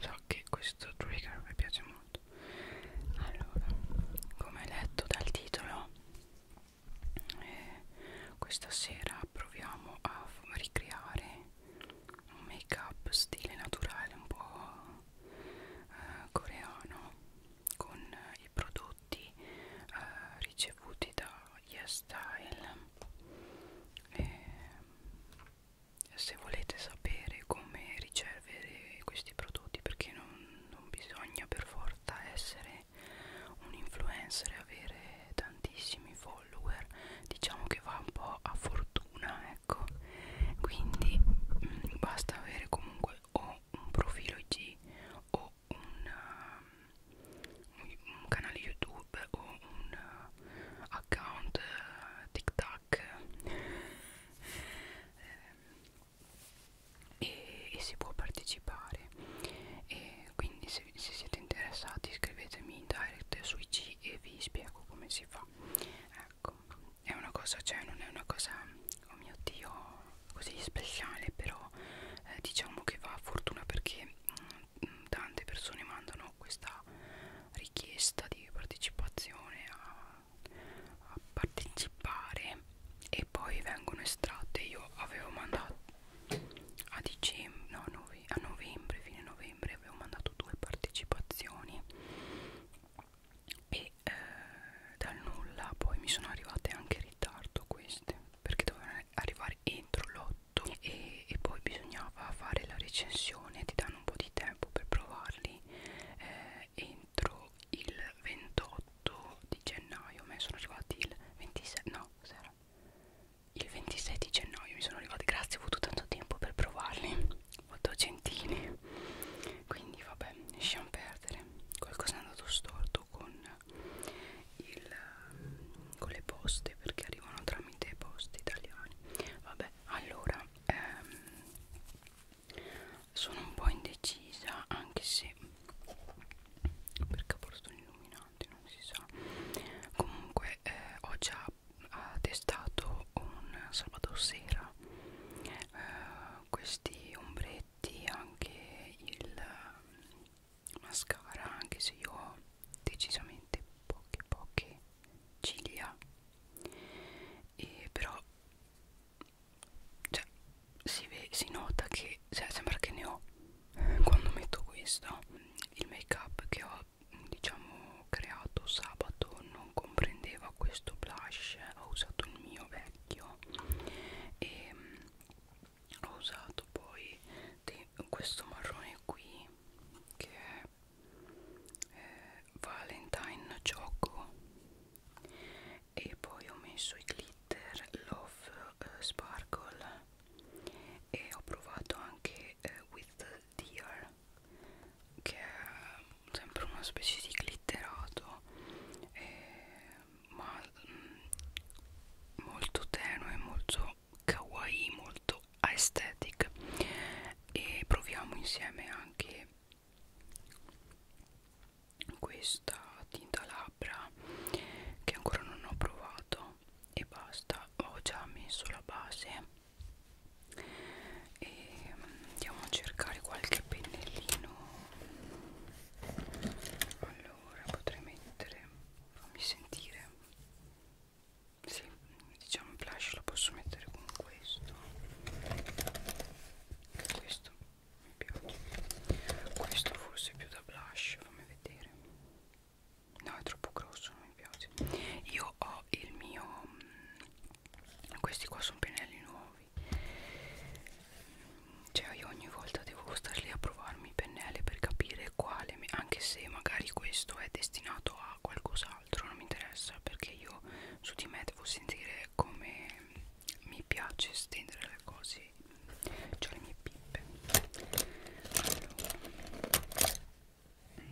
So che questo trigger mi piace molto. Allora, come letto dal titolo, eh, questa sera proviamo a ricreare un make up stile naturale un po' eh, coreano con i prodotti prodotti eh, ricevuti da YesStyle e se volete sapere come ricevere questi prodotti perché non, non bisogna per forza essere un influencer e avere tantissimi follower diciamo che va un po' a fortuna ecco quindi mh, mm, basta avere comunque o un profilo IG o un, um, un canale YouTube o un uh, account uh, TikTok e, e si può partecipare e quindi se, se siete interessati scrivetemi in direct su IG e vi spiego come si fa ecco è una cosa cioè non è una cosa oh mio dio così speciale però eh, diciamo che va a fortuna perché mh, mm, tante persone mandano questa richiesta di partecipazione a, a partecipare e poi vengono estratte io avevo mandato a dicembre no, nove, a novembre fine novembre avevo mandato due partecipazioni e e eh, dal nulla poi mi sono arrivate anche in ritardo queste perché dovevano arrivare entro l'8 e, e poi bisognava fare la recensione ti danno un po' di tempo per provarli eh, entro il 28 di gennaio a me sono arrivati il 26 no sera il 26 di gennaio mi sono arrivati grazie ho avuto tanto tempo per provarli molto gentili quindi vabbè lasciamo perdere qualcosa è andato storto con il, ehm, con le poste perché arrivano tramite poste italiane vabbè allora ehm, sono un po' indecisa anche se perché porto un illuminante non si sa comunque eh, ho già ha testato un sabato sera eh, questi ombre paletti anche il ehm, mascara anche se io ho decisamente poche poche ciglia e però cioè, si, ve, si nota che cioè, sembra che ne ho quando metto questo il make up che ho diciamo creato sabato non comprendeva questo blush ho usato il mio vecchio e ehm, ho usato poi di questo marrone qui che è eh, Valentine Choco e poi ho messo i glitter Love eh, Sparkle e ho provato anche eh, With Dear che è sempre una specie di glitterato eh, ma mh, mm, molto tenue, molto kawaii, molto aesthetic e proviamo insieme anche questa tinta labbra che ancora non ho provato e basta ho già messo la base e mm, andiamo a cercare qualche pennellino allora potrei mettere fammi sentire sì, diciamo flash lo posso mettere con questo questo mi piace questo forse è più da blush fammi vedere no è troppo grosso non mi piace io ho il mio mm, questi qua sono pennelli nuovi qui cioè io ogni volta devo stare lì a provarmi i pennelli per capire quale anche se magari questo è destinato a qualcos'altro non mi interessa perché io su di me devo sentire come mi piace stendere le cose cioè le mie pippe allora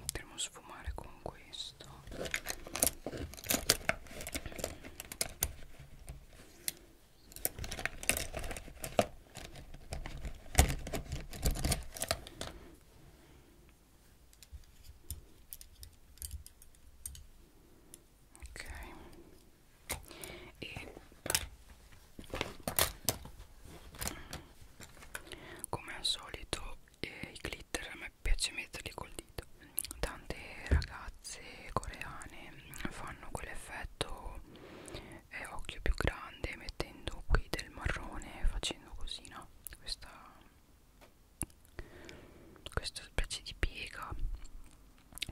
potremmo sfumare con questo ok e come al solito eh, i glitter a me piace metterli col dito tante ragazze coreane fanno quell'effetto eh, occhio più grande mettendo qui del marrone facendo così no questa questa specie di piega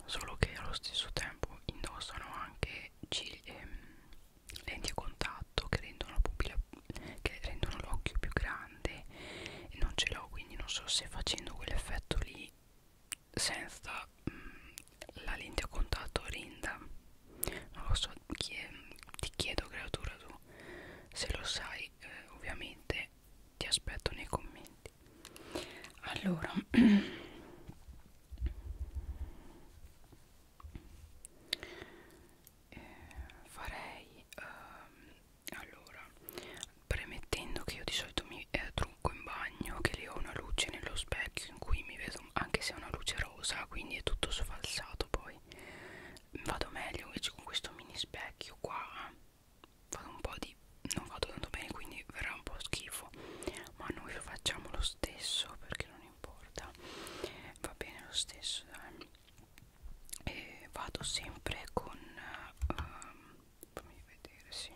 solo che allo stesso tempo indossano anche ehm, lenti a contatto che rendono la pupilla che rendono l'occhio più grande e non ce l'ho quindi non so se facendo quell'effetto lì senza mh, mm, la lente a contatto rinda non lo so chie ti chiedo creatura tu se lo sai eh, ovviamente ti aspetto nei commenti allora eh, farei ehm, allora premettendo che io di solito mi eh, trucco in bagno che lì ho una luce nello specchio in cui mi vedo anche se è una luce rosa quindi è tutto sfalsato poi vado meglio invece con questo mini specchio qua vado un po' di non vado tanto bene quindi verrà un po' schifo ma noi lo facciamo lo stesso perché non importa va bene lo stesso dai e vado sempre con um, fammi vedere sì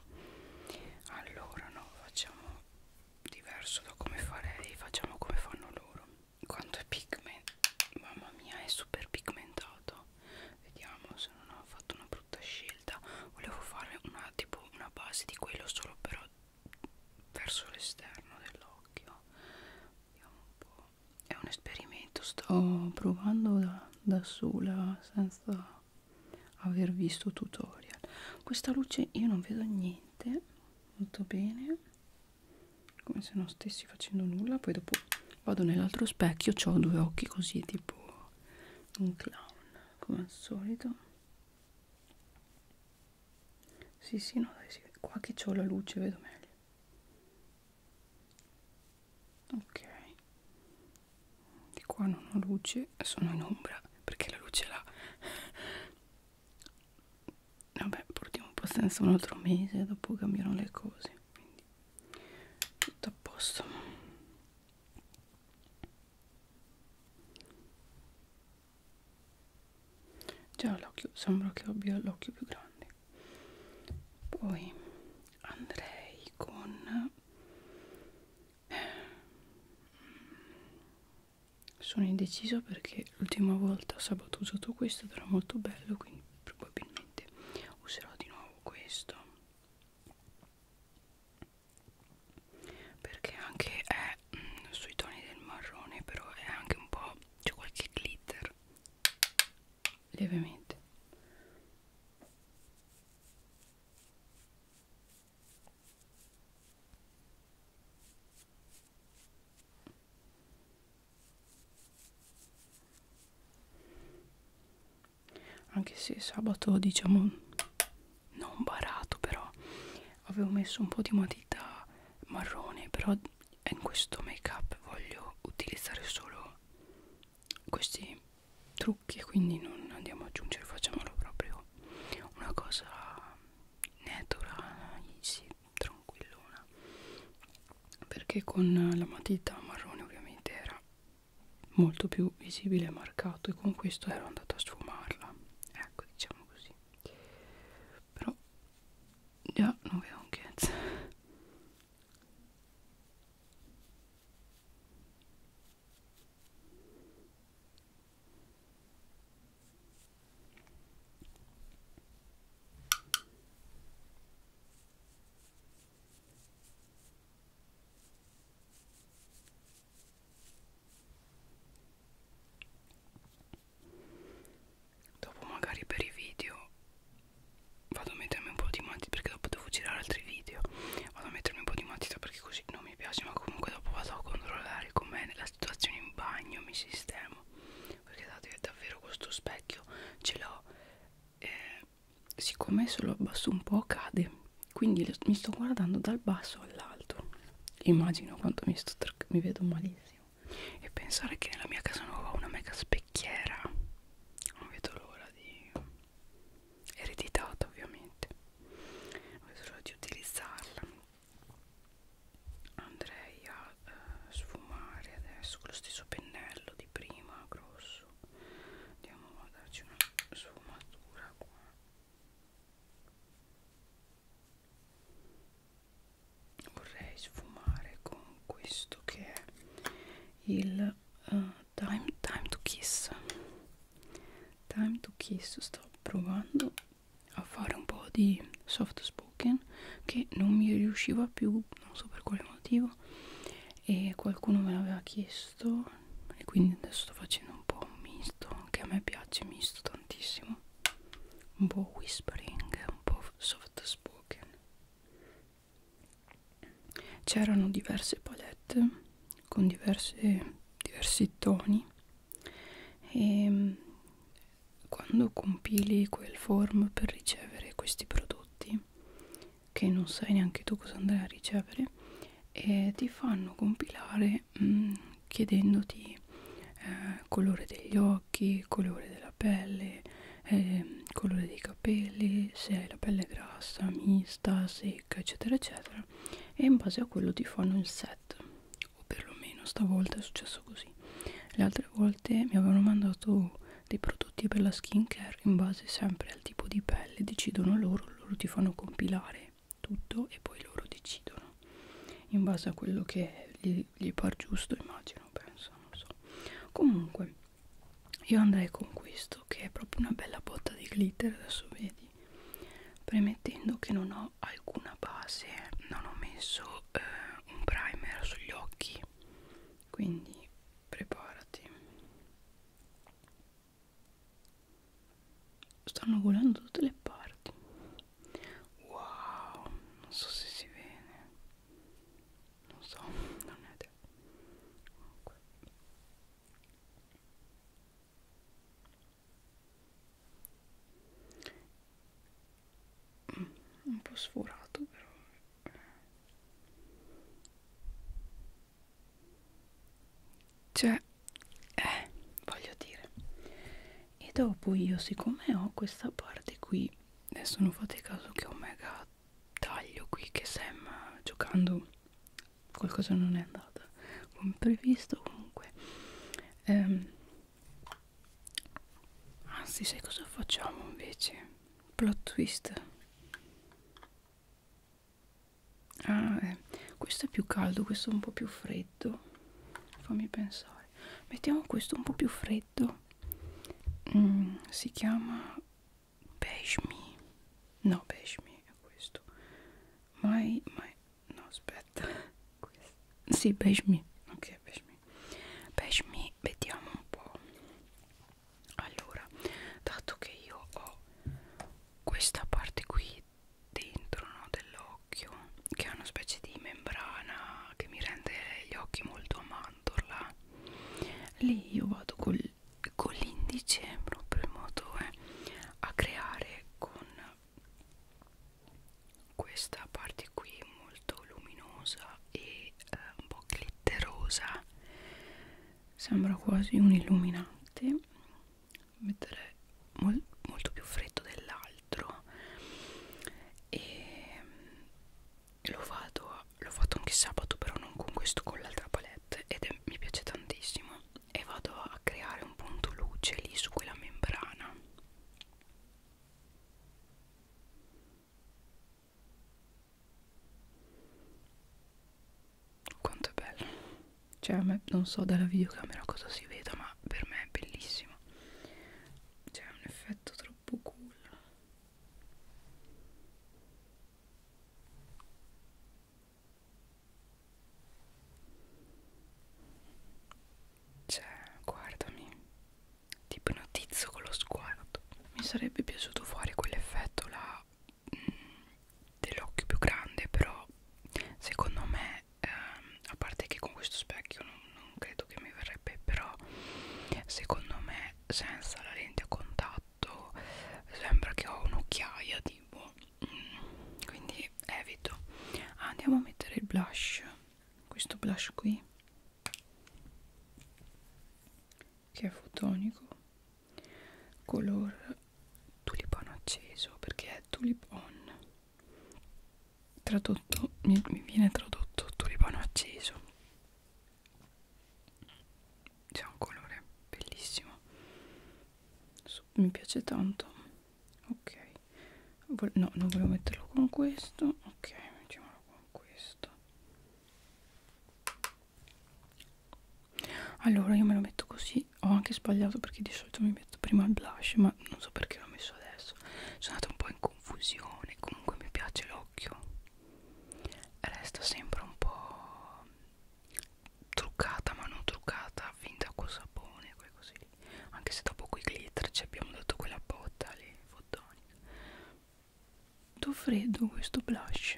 allora no facciamo diverso da come farei facciamo come fanno loro quanto è pigmentato mamma mia è super pigmentato vediamo se non ho fatto una brutta scelta volevo fare una tipo una base di quello solo però verso l'esterno dell'occhio vediamo un po' è un esperimento sto provando da, da sola senza aver visto tutorial questa luce io non vedo niente molto bene come se non stessi facendo nulla poi dopo vado nell'altro specchio ho due occhi così tipo un clown come al solito sì sì no dai sì. qua che ho la luce vedo meglio ok di qua non ho luce sono in ombra perché la luce là vabbè portiamo un po' senza un altro mese dopo cambiano le cose quindi tutto a posto già l'occhio sembra che abbia l'occhio più grande poi andrei con sono indeciso perché l'ultima volta sabato ho usato questo ed era molto bello quindi probabilmente userò di nuovo questo perché anche è mh, mm, sui toni del marrone però è anche un po' c'è qualche glitter lievemente anche se sabato diciamo non barato però avevo messo un po' di matita marrone però in questo make up voglio utilizzare solo questi trucchi quindi non andiamo ad aggiungere facciamolo proprio una cosa naturale easy tranquillona perché con la matita marrone ovviamente era molto più visibile e marcato e con questo ero andata a sfumarla ecco diciamo così però già non vedo un cazzo Dopo magari per i video vado a mettermi un po' di matita perché dopo devo girare altri video vado a mettermi un po' di matita perché così non mi piace ma comunque dopo vado a controllare com'è la situazione in bagno mi sistemo perché dato che davvero questo specchio ce l'ho eh, siccome se lo abbasso un po' cade quindi lo, mi sto guardando dal basso all'alto immagino quanto mi, sto mi vedo malissimo e pensare che nella mia casa nuova ho una mega specchiera non vedo l'ora di ereditata ovviamente ho solo di utilizzarla andrei a eh, sfumare adesso con lo stesso pennello di prima grosso andiamo a darci una sfumatura qua vorrei sfumare con questo che è il uh, time, time to kiss time to kiss sto provando a fare un po' di soft spoken che non mi riusciva più non so per quale motivo e qualcuno me l'aveva chiesto e quindi adesso sto facendo un po' un misto che a me piace misto tantissimo un po' whispering un po' soft spoken c'erano diverse palette con diverse, diversi toni e ehm, quando compili quel form per ricevere questi prodotti che non sai neanche tu cosa andrai a ricevere e eh, ti fanno compilare mh, mm, chiedendoti eh, colore degli occhi, colore della pelle, eh, colore dei capelli capelli, se hai la pelle grassa, mista, secca, eccetera, eccetera, e in base a quello ti fanno il set, o perlomeno stavolta è successo così. Le altre volte mi avevano mandato dei prodotti per la skincare in base sempre al tipo di pelle, decidono loro, loro ti fanno compilare tutto e poi loro decidono in base a quello che gli, gli par giusto, immagino, penso, non so. Comunque io andrei con questo che è proprio una bella botta di glitter adesso vedi premettendo che non ho alcuna base non ho messo eh, un primer sugli occhi quindi preparati stanno volando tutte le parti wow non so se si vede non so non è Comunque un po' sforato però cioè eh, voglio dire e dopo io siccome ho questa parte qui adesso non fate caso che ho mega taglio qui che Sam giocando qualcosa non è andata come previsto comunque ehm, anzi sai cosa facciamo invece plot twist ah, eh. questo è più caldo questo è un po' più freddo fammi pensare mettiamo questo un po' più freddo mm, si chiama beige me no beige me è questo mai mai no aspetta questo. sì beige me ok beige me beige me vediamo un po' allora dato che io ho questa parte qui dentro no, dell'occhio che è una specie di membrana che mi rende gli occhi molto a mandorla lì io vado col con l'indice proprio in modo eh, a creare con questa parte qui molto luminosa e eh, un po' glitterosa sembra quasi un illuminante mettere mol molto più freddo dell'altro e lo vado a l'ho fatto anche sabato però non con questo con l'altra palette ed è, mi piace tantissimo e vado a creare un punto luce lì su quella membrana quanto è bello cioè a me non so dalla videocamera cosa si veda ma per me è bellissimo c'è cioè, un effetto troppo cool cioè, guardami, ti ipnotizzo con lo sguardo. Mi sarebbe piaciuto fare quell'effetto là mm, dell'occhio più grande, però secondo me, ehm, a parte che con questo specchio non, non credo che mi verrebbe, però secondo me senza la lente a contatto fatto sembra che ho un'occhiaia tipo mm, quindi evito andiamo a mettere il blush questo blush qui che è fotonico color tulipano acceso perché è tulipon tradotto mi, mi viene tradotto tulipano acceso c'è un colore bellissimo mi piace tanto ok no non volevo metterlo con questo ok mettiamolo con questo allora io me lo metto così ho anche sbagliato perché di solito mi metto prima il blush ma non so perché l'ho messo adesso sono andata un po' in confusione comunque mi piace l'occhio resta sempre un po' truccata ma non truccata finta col sapone così anche se dopo quei glitter ci abbiamo dato quella botta lì fotonica do freddo questo blush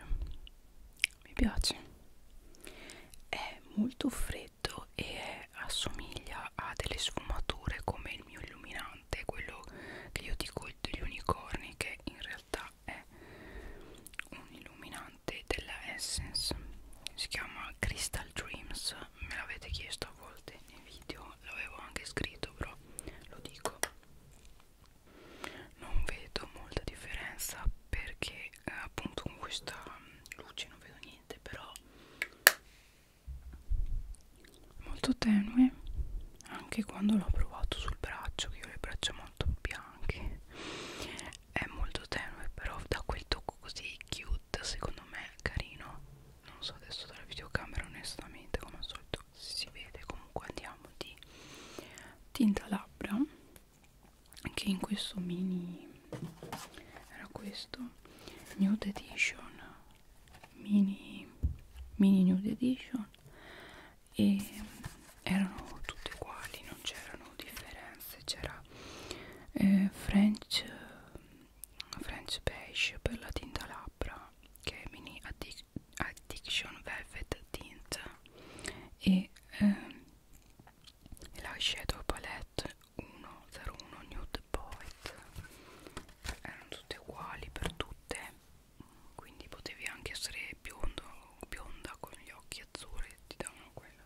mi piace è molto freddo e è, assomiglia a delle sfumature come il mio illuminante quello che io dico gli unicorni che in realtà realtà è un illuminante della Essence si chiama Crystal Dreams me l'avete chiesto a volte nei video l'avevo anche scritto però lo dico non vedo molta differenza perché eh, appunto con questa luce non vedo niente però molto tenue anche quando l'ho provato sul braccio che io ho le braccia molto bianchi è molto tenue però da quel tocco così cute secondo me carino non so adesso dalla videocamera onestamente come al solito si vede comunque andiamo di tinta labbra che in questo mini era questo nude edition mini mini nude edition e erano tutte uguali, non c'erano differenze, c'era eh, French, French beige per la tinta labbra che è mini addic addiction velvet tint e eh, l'eyeshadow palette 101 nude poet erano tutte uguali per tutte quindi potevi anche essere biondo, bionda con gli occhi azzurri ti davano quello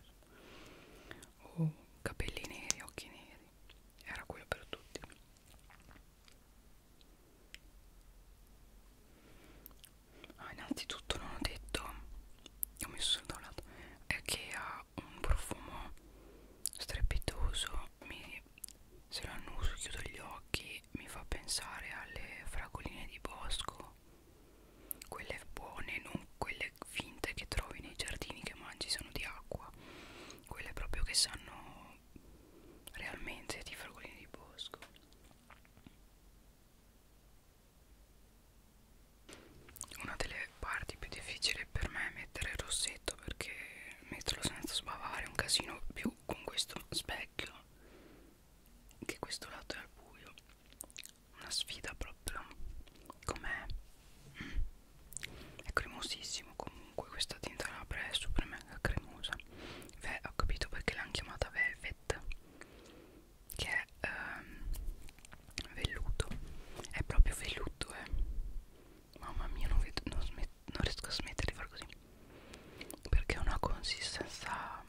o capelli neri, occhi neri era quello per tutti ah, innanzitutto non ho detto ho messo da un lato è che ha un profumo strepitoso mi, se lo annuso chiudo gli occhi poi mi fa pensare alle fragoline di bosco quelle buone non quelle finte che trovi nei giardini che mangi sono di acqua quelle proprio che sanno realmente di fragoline di bosco una delle parti più difficili per me è mettere il rossetto perché metterlo senza sbavare è un casino più con questo specchio che questo lato è al buio una sfida proprio com'è mm. è cremosissimo comunque questa tinta labbra è super mega cremosa Ve, ho capito perché l'hanno chiamata velvet che è ehm, velluto è proprio velluto eh mamma mia non, vedo, non, non riesco a smettere di far così perché ha una consistenza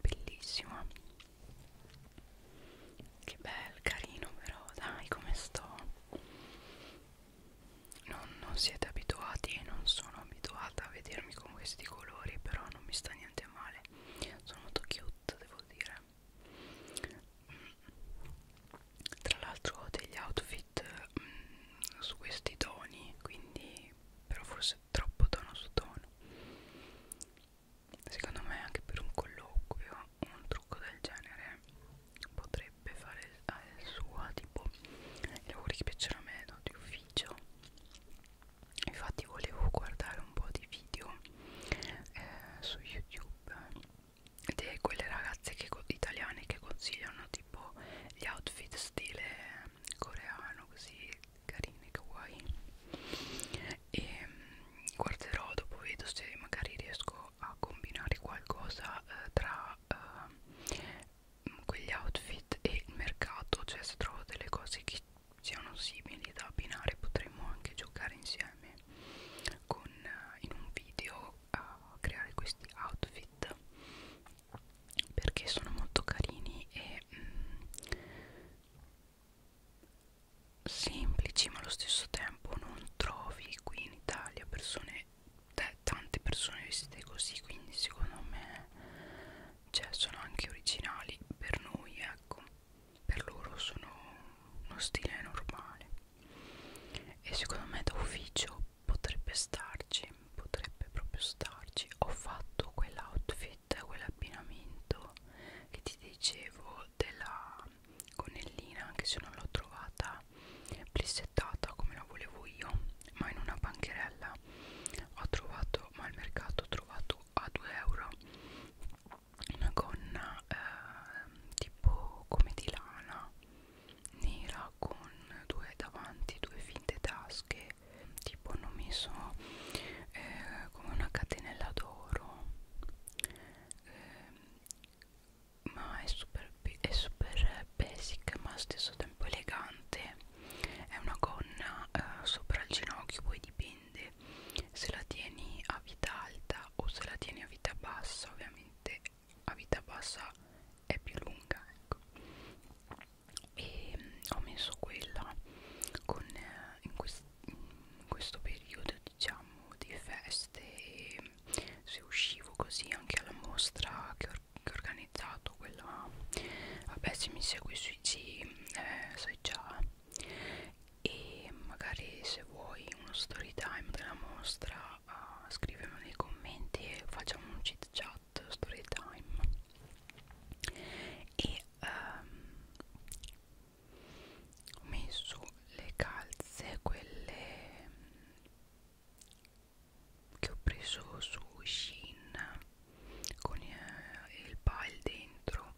bellissima che bel carino però dai come sto non, non siete abituati non sono abituata a vedermi con questi colori però non mi sta niente male sono molto cute devo dire tra l'altro ho degli outfit mh, mm, su questi toni quindi però forse troppo tono su tono secondo me anche per un colloquio un trucco del genere potrebbe fare al eh, suo tipo i lavori che piacciono a me no, di ufficio infatti volevo guardare un po' di video eh, su youtube di quelle ragazze che, italiane che consigliano tipo gli outfit stile coreano così carine kawaii e mm, guarderò dopo vedo se magari riesco a combinare qualcosa eh, tra eh, quegli outfit e il mercato cioè se trovo delle cose che siano simili da abbinare potremmo anche giocare insieme con, eh, in un video a creare questi outfit perché sono molto carini e mh, mm, semplici ma allo stesso tempo non trovi qui in Italia persone tante persone vestite così quindi secondo me cioè, sono anche originali per noi ecco per loro sono uno stile normale e secondo me da ufficio potrebbe starci potrebbe proprio starci ho fatto quell'outfit quell'abbinamento che ti dicevo della gonnellina anche se non l'ho trovata plissettata come la volevo io ma in una bancherella ho trovato ma al mercato ho trovato a 2 euro una gonna eh, tipo come di lana nera con due davanti due finte tasche che tipo hanno messo eh, come una catenella d'oro eh, ma è super, è super basic ma allo stesso tempo elegante è una gonna eh, sopra il ginocchio poi dipende se la tieni a vita alta o se la tieni a vita bassa ovviamente a vita bassa è più lunga ecco e mm, ho messo quella con, eh, in, quest in questo periodo diciamo di feste e se uscivo così anche alla mostra che ho, che ho organizzato quella vabbè se mi segui su IG eh, sai già e magari se vuoi uno story time della mostra uh, ah, scrivimi nei commenti e facciamo un chit chat chat story time e um, ho messo le calze quelle che ho preso su Shein con eh, il pile dentro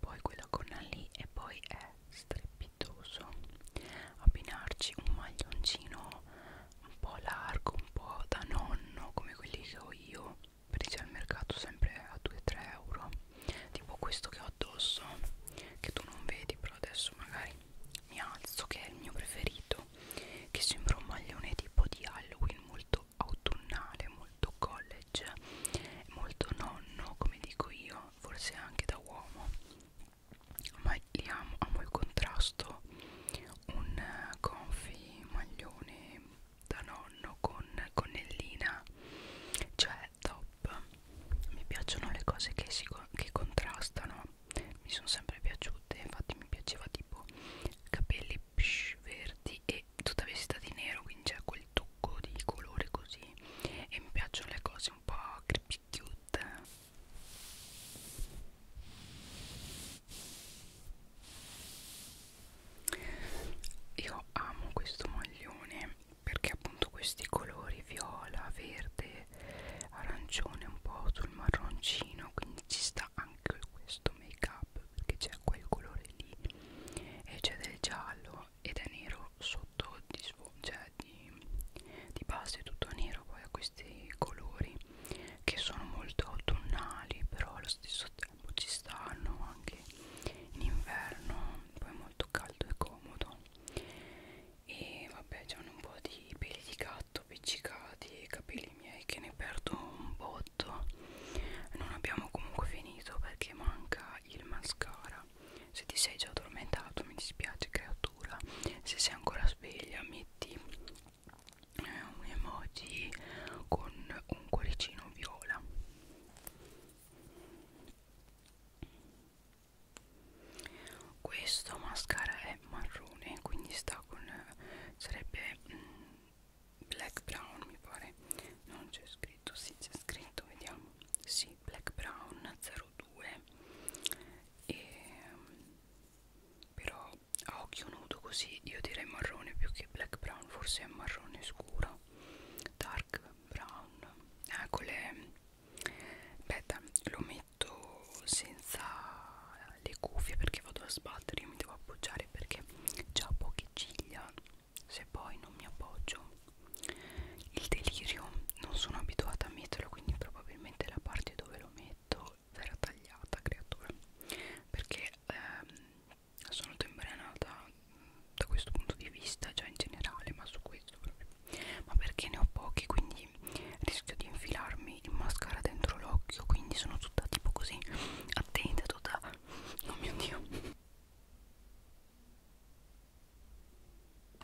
poi quella gonna lì e poi è strepitoso abbinarci un maglioncino un po' largo, un po' da nonno come quelli che ho io presi al mercato sempre a 2-3 euro tipo questo che ho addosso che tu non vedi però adesso magari mi alzo che è il mio preferito che sembra un maglione tipo di Halloween molto autunnale molto college molto nonno come dico io forse anche da uomo ma li amo, amo il contrasto agosto un confi maglione da nonno con connellina cioè top mi piacciono le cose che, si, che contrastano mi sono sempre piaciute infatti mi piaceva tipo capelli psh, verdi e tutta vestita di nero quindi c'è quel tocco di colore così e mi piacciono le cose un po' creepy cute io amo questo maglione perché appunto questi colori viola, verde, arancione un po' sul marroncino quindi ci sta anche questo make up perché c'è quel colore lì e c'è del giallo ed è nero sotto di, cioè di, di base tutto nero poi a questo questi colori che sono molto autunnali però allo stesso tempo ci stanno anche in inverno poi è molto caldo e comodo e vabbè c'hanno un po' di peli di gatto appiccicati e capelli miei che ne perdo un botto non abbiamo comunque finito perché manca il mascara se ti sei già addormentato mi dispiace creatura se sei ancora sveglia metti eh, un emoji con un cuoricino viola questo mascara è marrone quindi sta con sarebbe mm, black brown mi pare non c'è scritto sì c'è scritto vediamo sì black brown 02 e mm, però a occhio nudo così io direi marrone più che black brown forse è marrone scuro dark brown ecco le aspetta lo metto senza le cuffie perché vado a sbattere io mi devo appoggiare perché già ho poche ciglia se poi non mi appoggio il delirio non sono abituata a metterlo quindi probabilmente la parte dove lo metto verrà tagliata creatura perché ehm, sono tembrenata da questo punto di vista già in generale ma su questo proprio ma perché ne ho pochi quindi rischio di infilarmi il mascara dentro l'occhio quindi sono tutta tipo così attenta tutta oh mio dio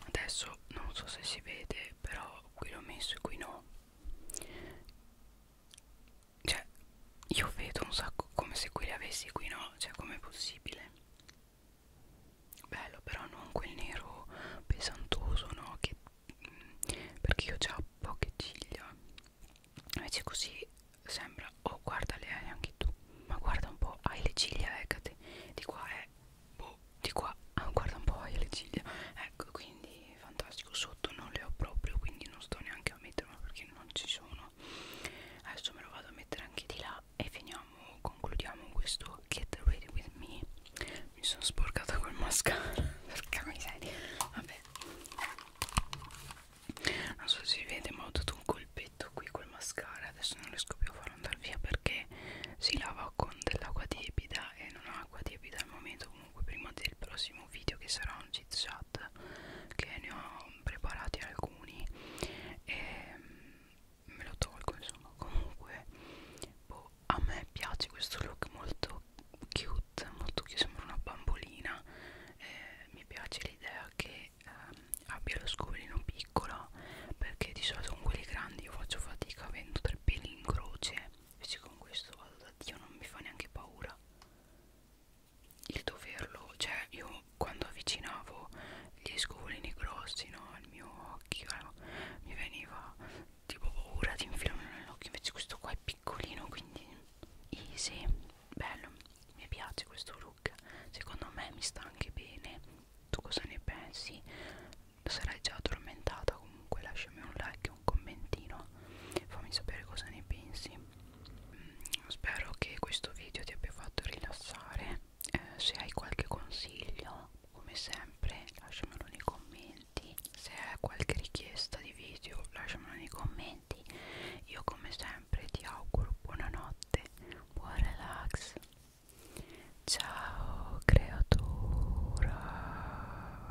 adesso non so se si vede però qui l'ho messo e qui no cioè io vedo un sacco come se qui li avessi qui no cioè com'è possibile bello però non quel nero pesantoso no che mm, perché io ho poche ciglia invece così sembra oh guarda le hai anche tu ma guarda un po' hai le ciglia eccate di qua è eh. boh di qua ah, guarda un po' hai le ciglia ecco quindi di fantastico sotto non le ho proprio quindi non sto neanche a metterlo perché non ci sono adesso me lo vado a mettere anche di là e finiamo concludiamo questo get ready with me mi sono sporcata col mascara perché miseria vabbè non so se si vede ma ho dato un colpetto qui col mascara adesso non riesco più a farlo andare via perché si lava con dell'acqua tiepida e non ho acqua tiepida al momento comunque prima del prossimo video che sarà un chit chat che ne ho preparati alcuni e mm, me lo tolgo insomma comunque boh, a me piace questo look molto cute molto che sembra una bambolina eh, mi piace l'idea che ehm, abbia lo scovolino piccolo perché di solito con quelli grandi io faccio fatica avendo tre peli in croce invece con questo vado da Dio non mi fa neanche paura il doverlo cioè io quando avvicinavo gli scovolini grossi no al mio occhio no? mi veniva tipo paura di infilarmi nell'occhio invece questo qua è piccolino quindi easy bello mi piace questo look secondo me mi sta anche bene tu cosa ne pensi sarai già addormentata comunque lasciami un like un commentino fammi sapere cosa ne pensi mm, spero che questo video ti abbia fatto rilassare eh, se hai qualche consiglio come sempre lasciamelo nei commenti se hai qualche richiesta di video lasciamelo nei commenti io come sempre ti auguro buonanotte buon relax ciao creatura